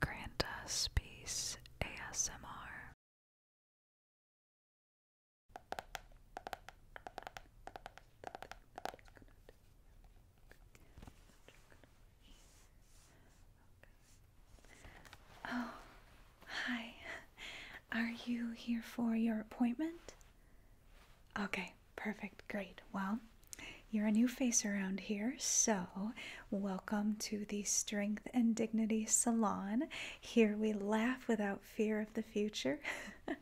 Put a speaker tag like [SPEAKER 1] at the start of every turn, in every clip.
[SPEAKER 1] Granda Peace ASMR. Oh, hi. Are you here for your appointment? Okay, perfect, great. Well, you're a new face around here, so welcome to the Strength and Dignity Salon. Here we laugh without fear of the future.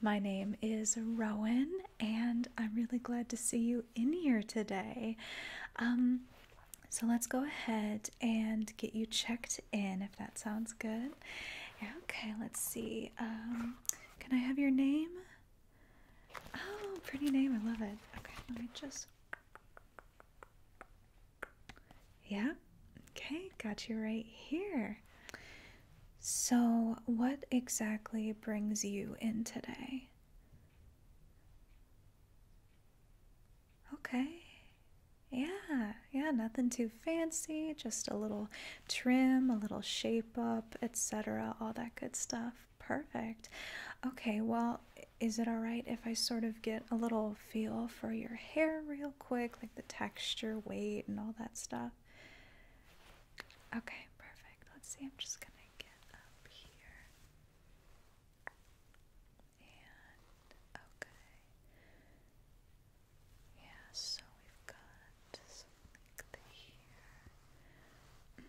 [SPEAKER 1] My name is Rowan, and I'm really glad to see you in here today. Um, so let's go ahead and get you checked in if that sounds good. Okay, let's see. Um, can I have your name? Oh, pretty name. I love it. Okay, let me just. Yeah. Okay, got you right here. So, what exactly brings you in today? Okay. Yeah, yeah, nothing too fancy, just a little trim, a little shape up, etc., all that good stuff. Perfect. Okay, well, is it all right if I sort of get a little feel for your hair real quick, like the texture, weight, and all that stuff? Okay, perfect. Let's see. I'm just going to get up here. And okay. Yeah, so we've got something like here.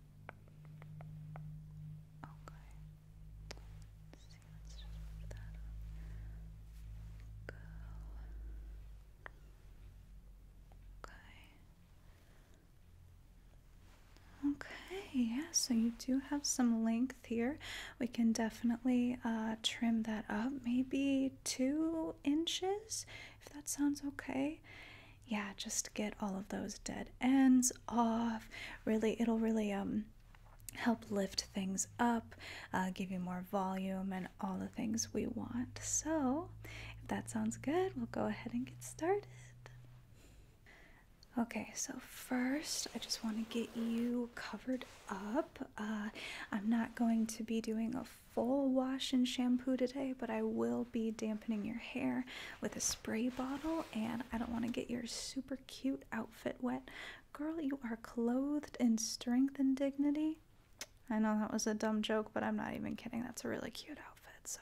[SPEAKER 1] Okay. see, let's just move that up. Go. Okay. Okay, yeah, so you do have some length here. We can definitely uh, trim that up, maybe two inches, if that sounds okay yeah, just get all of those dead ends off. Really, it'll really um help lift things up, uh, give you more volume, and all the things we want. So, if that sounds good, we'll go ahead and get started. Okay, so first I just want to get you covered up. Uh, I'm not going to be doing a full wash and shampoo today, but I will be damp your hair with a spray bottle, and I don't want to get your super cute outfit wet. Girl, you are clothed in strength and dignity. I know that was a dumb joke, but I'm not even kidding. That's a really cute outfit, so.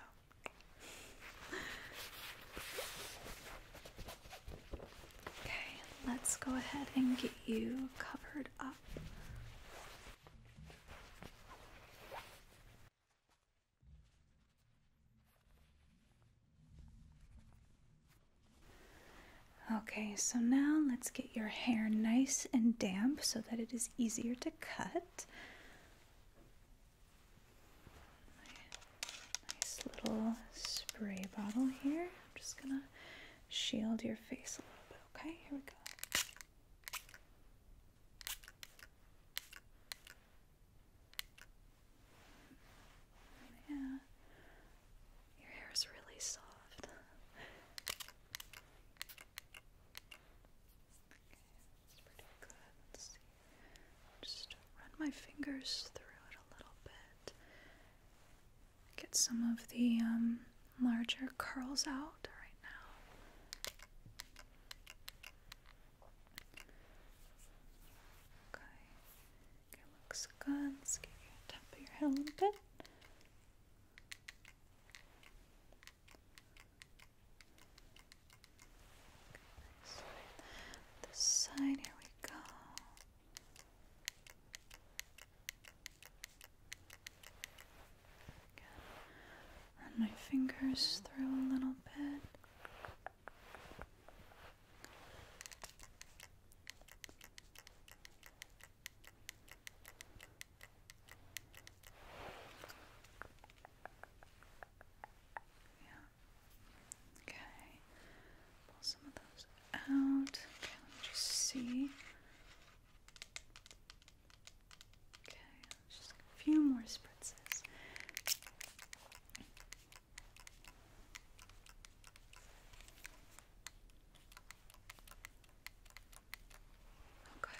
[SPEAKER 1] Okay, let's go ahead and get you covered up. Okay, so now let's get your hair nice and damp so that it is easier to cut. Nice little spray bottle here. I'm just gonna shield your face a little bit, okay? Here we go. Yeah, your hair is really soft. okay, pretty good. Let's see. just run my fingers through it a little bit. Get some of the um, larger curls out right now. Okay. Okay, looks good. Let's get your top of your head a little bit. this side, here we go. Run my fingers through a little bit. Yeah. Okay. Pull some of those out. Okay, let me see. Okay, just a few more spritzes. Okay.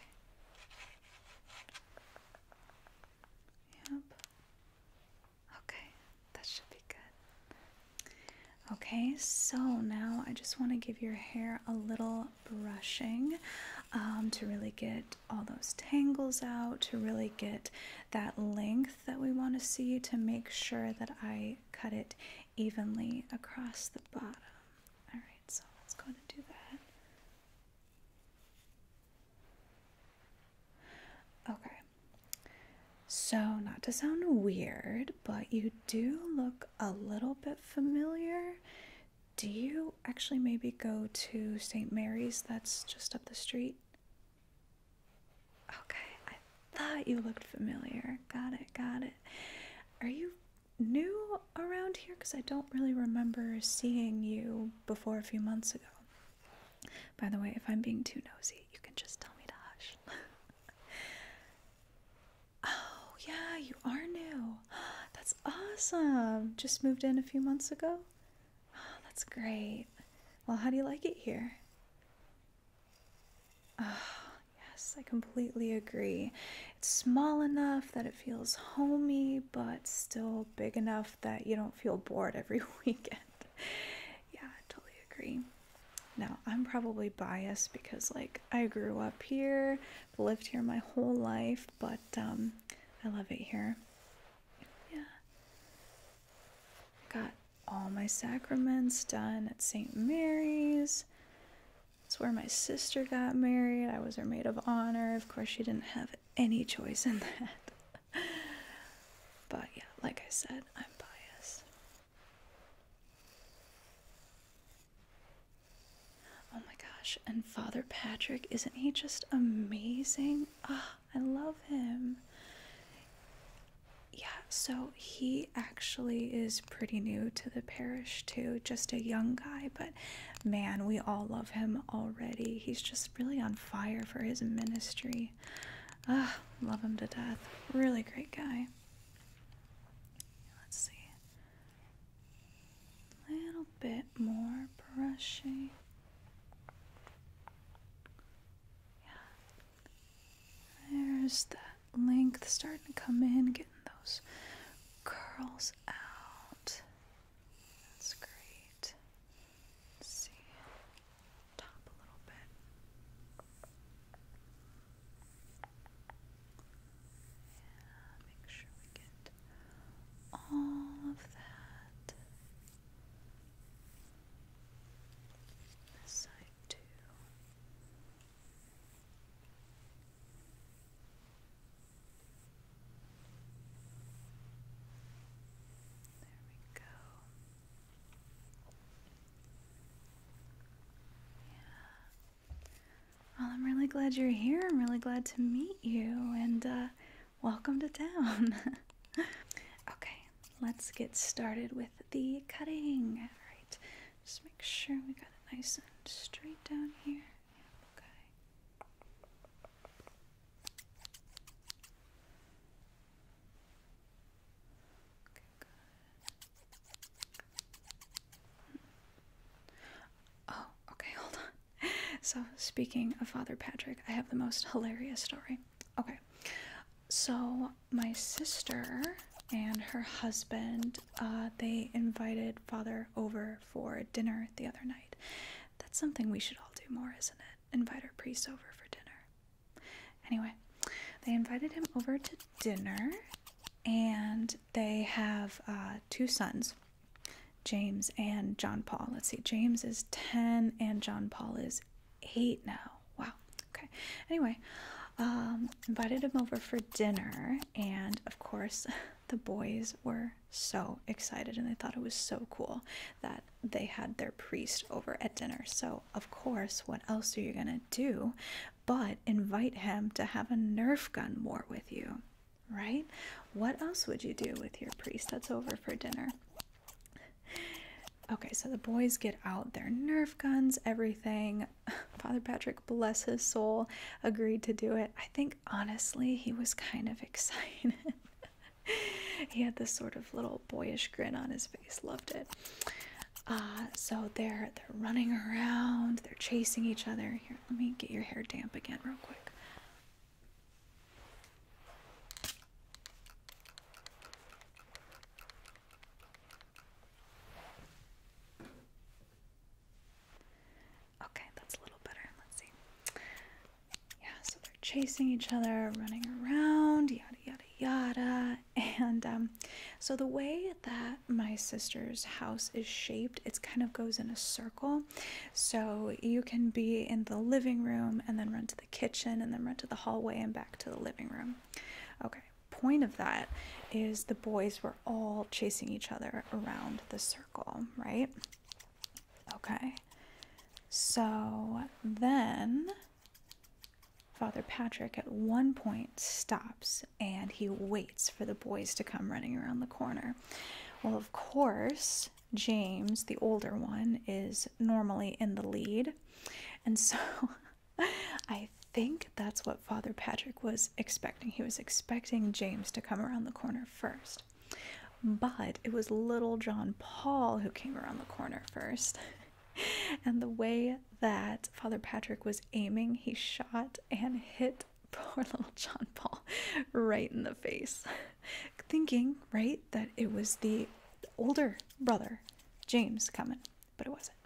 [SPEAKER 1] Yep. Okay, that should be good. Okay, so now I just want to give your hair a little brushing um, to really get all those tangles out, to really get that length that we want to see, to make sure that I cut it evenly across the bottom. Alright, so let's go ahead do that. Okay. So, not to sound weird, but you do look a little bit familiar. Do you actually maybe go to St. Mary's that's just up the street? Okay, I thought you looked familiar. Got it, got it. Are you new around here? Because I don't really remember seeing you before a few months ago. By the way, if I'm being too nosy, you can just tell me to hush. oh, yeah, you are new. That's awesome. Just moved in a few months ago? Oh, that's great. Well, how do you like it here? Oh, yes, I completely agree. It's small enough that it feels homey, but still big enough that you don't feel bored every weekend. yeah, I totally agree. Now, I'm probably biased because, like, I grew up here, lived here my whole life, but um, I love it here. Yeah. Got all my sacraments done at St. Mary's. It's where my sister got married. I was her maid of honor. Of course, she didn't have any choice in that. but yeah, like I said, I'm biased. Oh my gosh, and Father Patrick, isn't he just amazing? Ah, I love him. Yeah, so he actually is pretty new to the parish too, just a young guy, but man, we all love him already. He's just really on fire for his ministry. Ah, love him to death. Really great guy. Let's see. A little bit more brushing. Yeah. There's that length starting to come in, getting those curls out. That's great. Let's see. Top a little bit make sure we get all of that. This side too. There we go. Yeah. Well, I'm really glad you're here. I'm really glad to meet you. And uh, welcome to town. okay, let's get started with the cutting. Alright, just make sure we got it nice and straight down here. okay. Hmm. Oh, okay, hold on. so, speaking of Father Patrick, I have the most hilarious story. Okay, so my sister and her husband uh, they invited Father over for dinner the other night. That's something we should all do more, isn't it? Invite our priests over for dinner. Anyway, they invited him over to dinner, and they have uh, two sons. James. and John Paul. Let's see, James is 10 and John Paul is 8 now. Wow. Okay. Anyway, um, invited him over for dinner, and of course, the boys were so excited and they thought it was so cool that they had their priest over at dinner. So, of course, what else are you going to do but invite him to have a Nerf gun war with you? right? What else would you do with your priest that's over for dinner? Okay, so the boys get out their Nerf guns, everything. Father Patrick, bless his soul, agreed to do it. I think honestly, he was kind of excited. he had this sort of little boyish grin on his face, loved it. Uh, so they're they're running around, they're chasing each other. Here, let me get your hair damp again real quick. Okay, that's a little better. Let's see. Yeah, so they're chasing each other, running around, yada yada yada. And um, so the way that my sister's house is shaped, it kind of goes in a circle. So you can be in the living room and then run to the kitchen and then run to the hallway and back to the living room. Okay, point of that is the boys were all chasing each other around the circle, right? Okay, so then. Father Patrick at one point stops and he waits for the boys to come running around the corner. Well, of course, James, the older one, is normally in the lead. And so I think that's what Father Patrick was expecting. He was expecting James to come around the corner first. But it was little John Paul who came around the corner first. and the way that Father Patrick was aiming, he shot and hit poor little John Paul right in the face, thinking, right, that it was the older brother, James, coming, but it wasn't.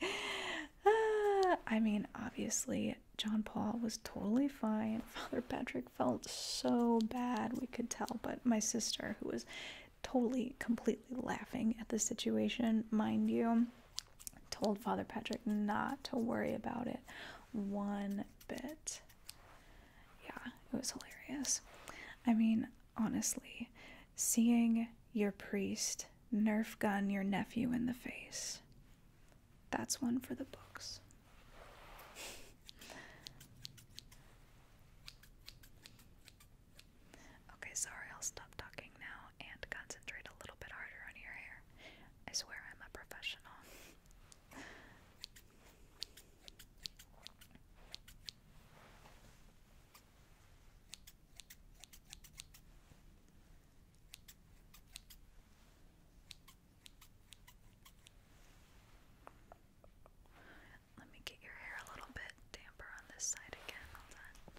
[SPEAKER 1] I mean, obviously, John Paul was totally fine. Father Patrick felt so bad, we could tell, but my sister, who was totally, completely laughing at the situation, mind you, told Father Patrick not to worry about it one bit yeah, it was hilarious. I mean, honestly, seeing your priest nerf gun your nephew in the face, that's one for the books. okay, sorry, I'll stop talking now and concentrate a little bit harder on your hair. I swear I'm a professional. Let me get your hair a little bit damper on this side again. Hold on.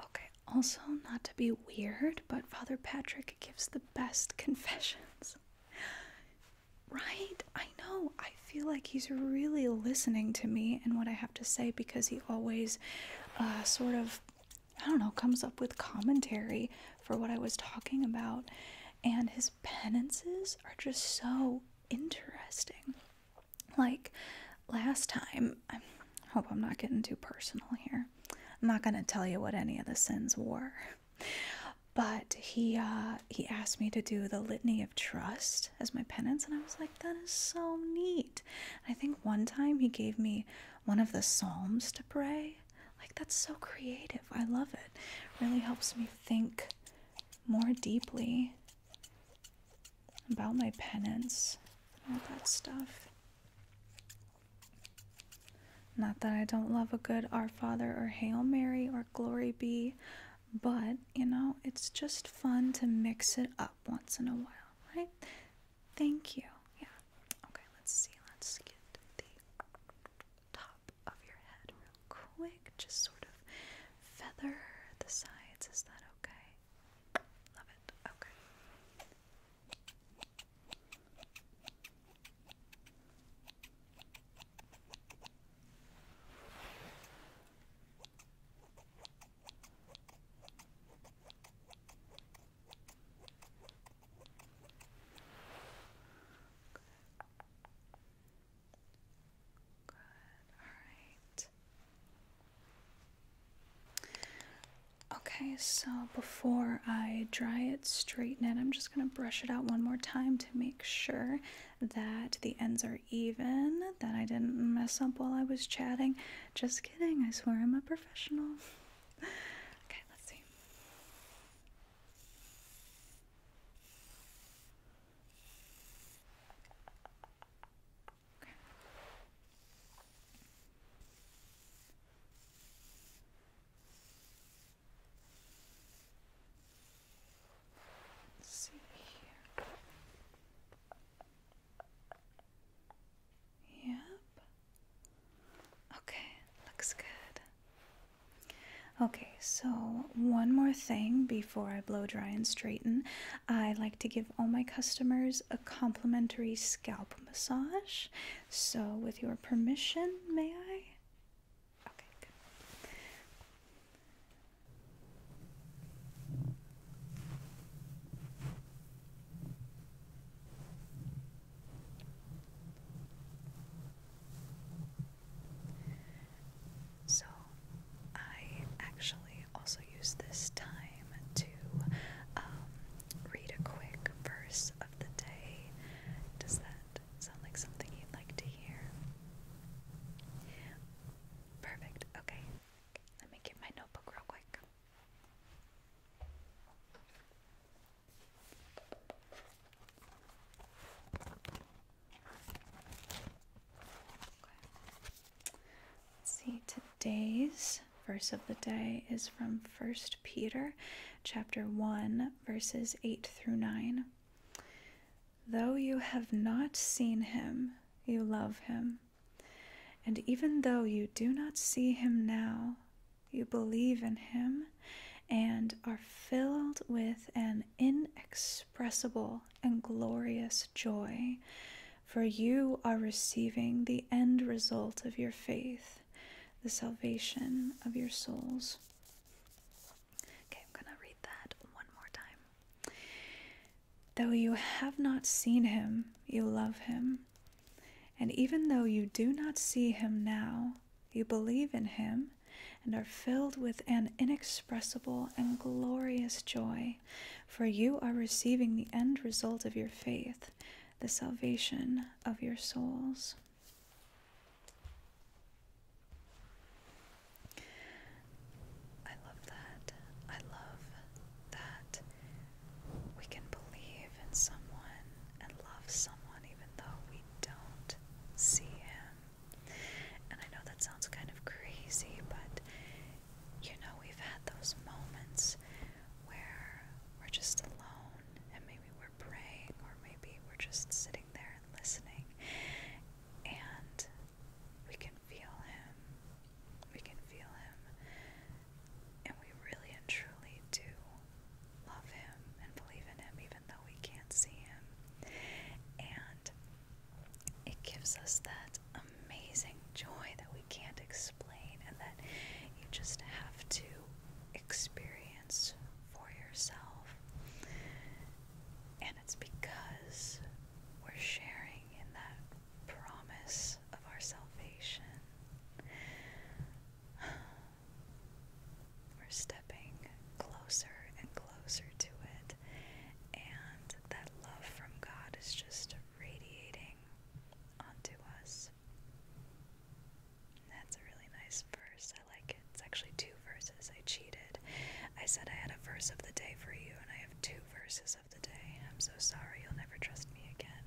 [SPEAKER 1] Okay, also, not to be weird, but Father Patrick gives the best confessions. Right? I know. I feel like he's really listening to me and what I have to say because he always uh, sort of, I don't know, comes up with commentary for what I was talking about. And his penances are just so interesting. Like last time, I hope I'm not getting too personal here. I'm not going to tell you what any of the sins were. But he uh, he asked me to do the litany of trust as my penance, and I was like, that is so neat. I think one time he gave me one of the psalms to pray. Like that's so creative. I love it. Really helps me think more deeply about my penance, all that stuff. Not that I don't love a good Our Father or Hail Mary or Glory Be, but you know, it's just fun to mix it up once in a while, right? Thank you. Yeah. Okay, let's see. Let's get the top of your head real quick. Just sort of feather the sides. Is that okay? Love it. Okay. Okay. Okay, so before I dry it, straighten it, I'm just going to brush it out one more time to make sure that the ends are even, that I didn't mess up while I was chatting. Just kidding, I swear I'm a professional. okay, let's see. Okay. see here. Yep. Okay, looks good. Okay, so one more thing before I blow dry and straighten. I like to give all my customers a complimentary scalp massage. So, with your permission, may I? So, I actually also use this time to um, read a quick verse of the day. Does that sound like something you'd like to hear? Perfect. Okay. Let me get my notebook real quick. Let's see today's verse of the day is from 1 Peter chapter 1 verses 8 through 9. Though you have not seen him, you love him. And even though you do not see him now, you believe in him and are filled with an inexpressible inexpressible and glorious joy, for you are receiving the end result of your faith, the salvation of your souls. Okay, I'm going to read that one more time. Though you have not seen him, you love him. And even though you do not see him now, you believe in him and are filled with an inexpressible and glorious joy, for you are receiving the end result of your faith, the salvation of your souls. I love that. I love that we can believe in someone and love someone even though we don't see him and I know that sounds kind of crazy, but you know, we've had those moments where we're just alone and maybe we're praying or maybe we're just sitting there and listening and we can feel him. We can feel him. And we really and truly do love him and believe in him even though we can't see him. And it gives us that amazing joy that we can't explain and that you just have to experience for yourself. And it's because we're sharing in that promise of our salvation. We're stepping closer and closer to it. And that love from God is just radiating onto us. That's a really nice verse. I like it. It's actually two verses. I cheated. I said I had a verse of the day for you, and I have two verses of the day. I'm so sorry. You'll never trust me again.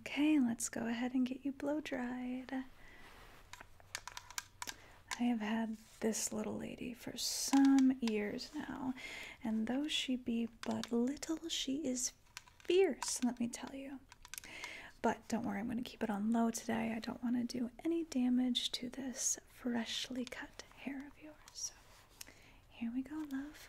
[SPEAKER 1] Okay, let's go ahead and get you blow dried. I have had this little lady for some years now, and though she be but little, she is fierce, let me tell you. But don't worry, I'm going to keep it on low today. I don't want to do any damage to this freshly cut hair of yours. So here we go, love.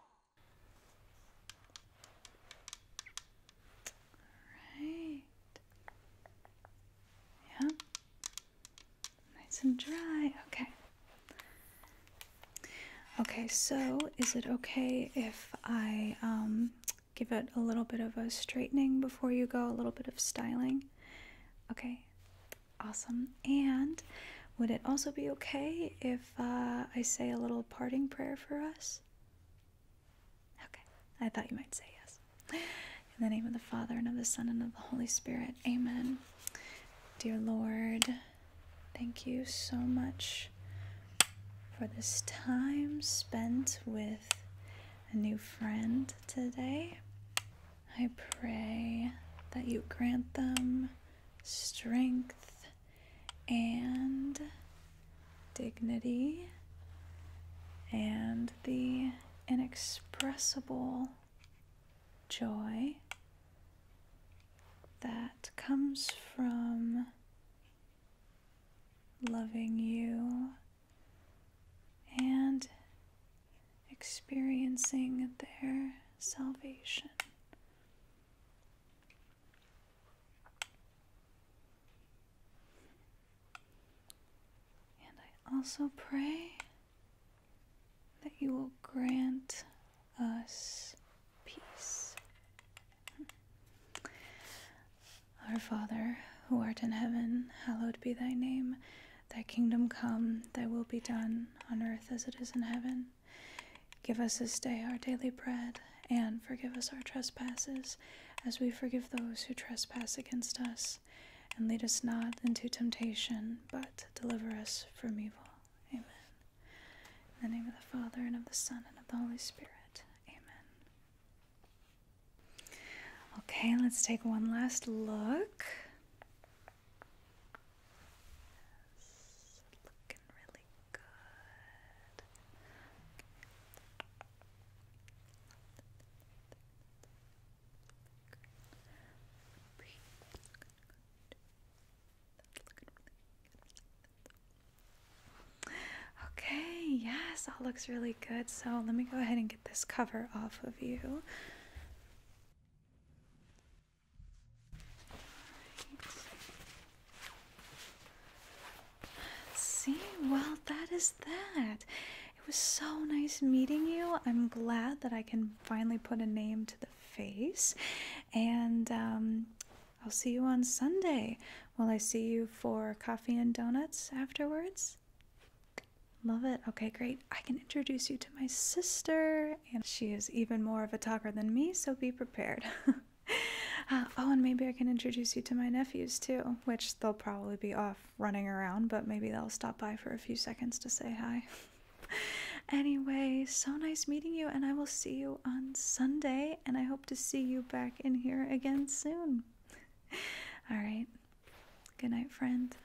[SPEAKER 1] Alright. Yeah. Nice and dry. Okay. Okay, so is it okay if I um, give it a little bit of a straightening before you go, a little bit of styling? Okay, Awesome. And would it also be okay if uh, I say a little parting prayer for us? Okay, I thought you might say yes. In the name of the Father, and of the Son, and of the Holy Spirit. Amen. Dear Lord, thank you so much for this time spent with a new friend today. I pray that you grant them strength and dignity and the inexpressible joy that comes from loving you and experiencing their salvation. And I also pray that you will grant us peace. Our Father, who art in heaven, hallowed be thy name. Thy kingdom come, thy will be done, on earth as it is in heaven. Give us this day our daily bread, and forgive us our trespasses, as we forgive those who trespass against us. And lead us not into temptation, but deliver us from evil. Amen. In the name of the Father, and of the Son, and of the Holy Spirit. Amen. Okay, let's take one last look. Yes, Okay, yes, all looks really good. So let me go ahead and get this cover off of you. See, well, that is that. It was so nice meeting you. I'm glad that I can finally put a name to the face. And um, I'll see you on Sunday. Will I see you for coffee and donuts afterwards? Love it. Okay, great. I can introduce you to my sister, and she is even more of a talker than me, so be prepared. Uh, oh, and maybe I can introduce you to my nephews too, which they'll probably be off running around, but maybe they'll stop by for a few seconds to say hi. anyway, so nice meeting you, and I will see you on Sunday, and I hope to see you back in here again soon. All right. Good night, friend.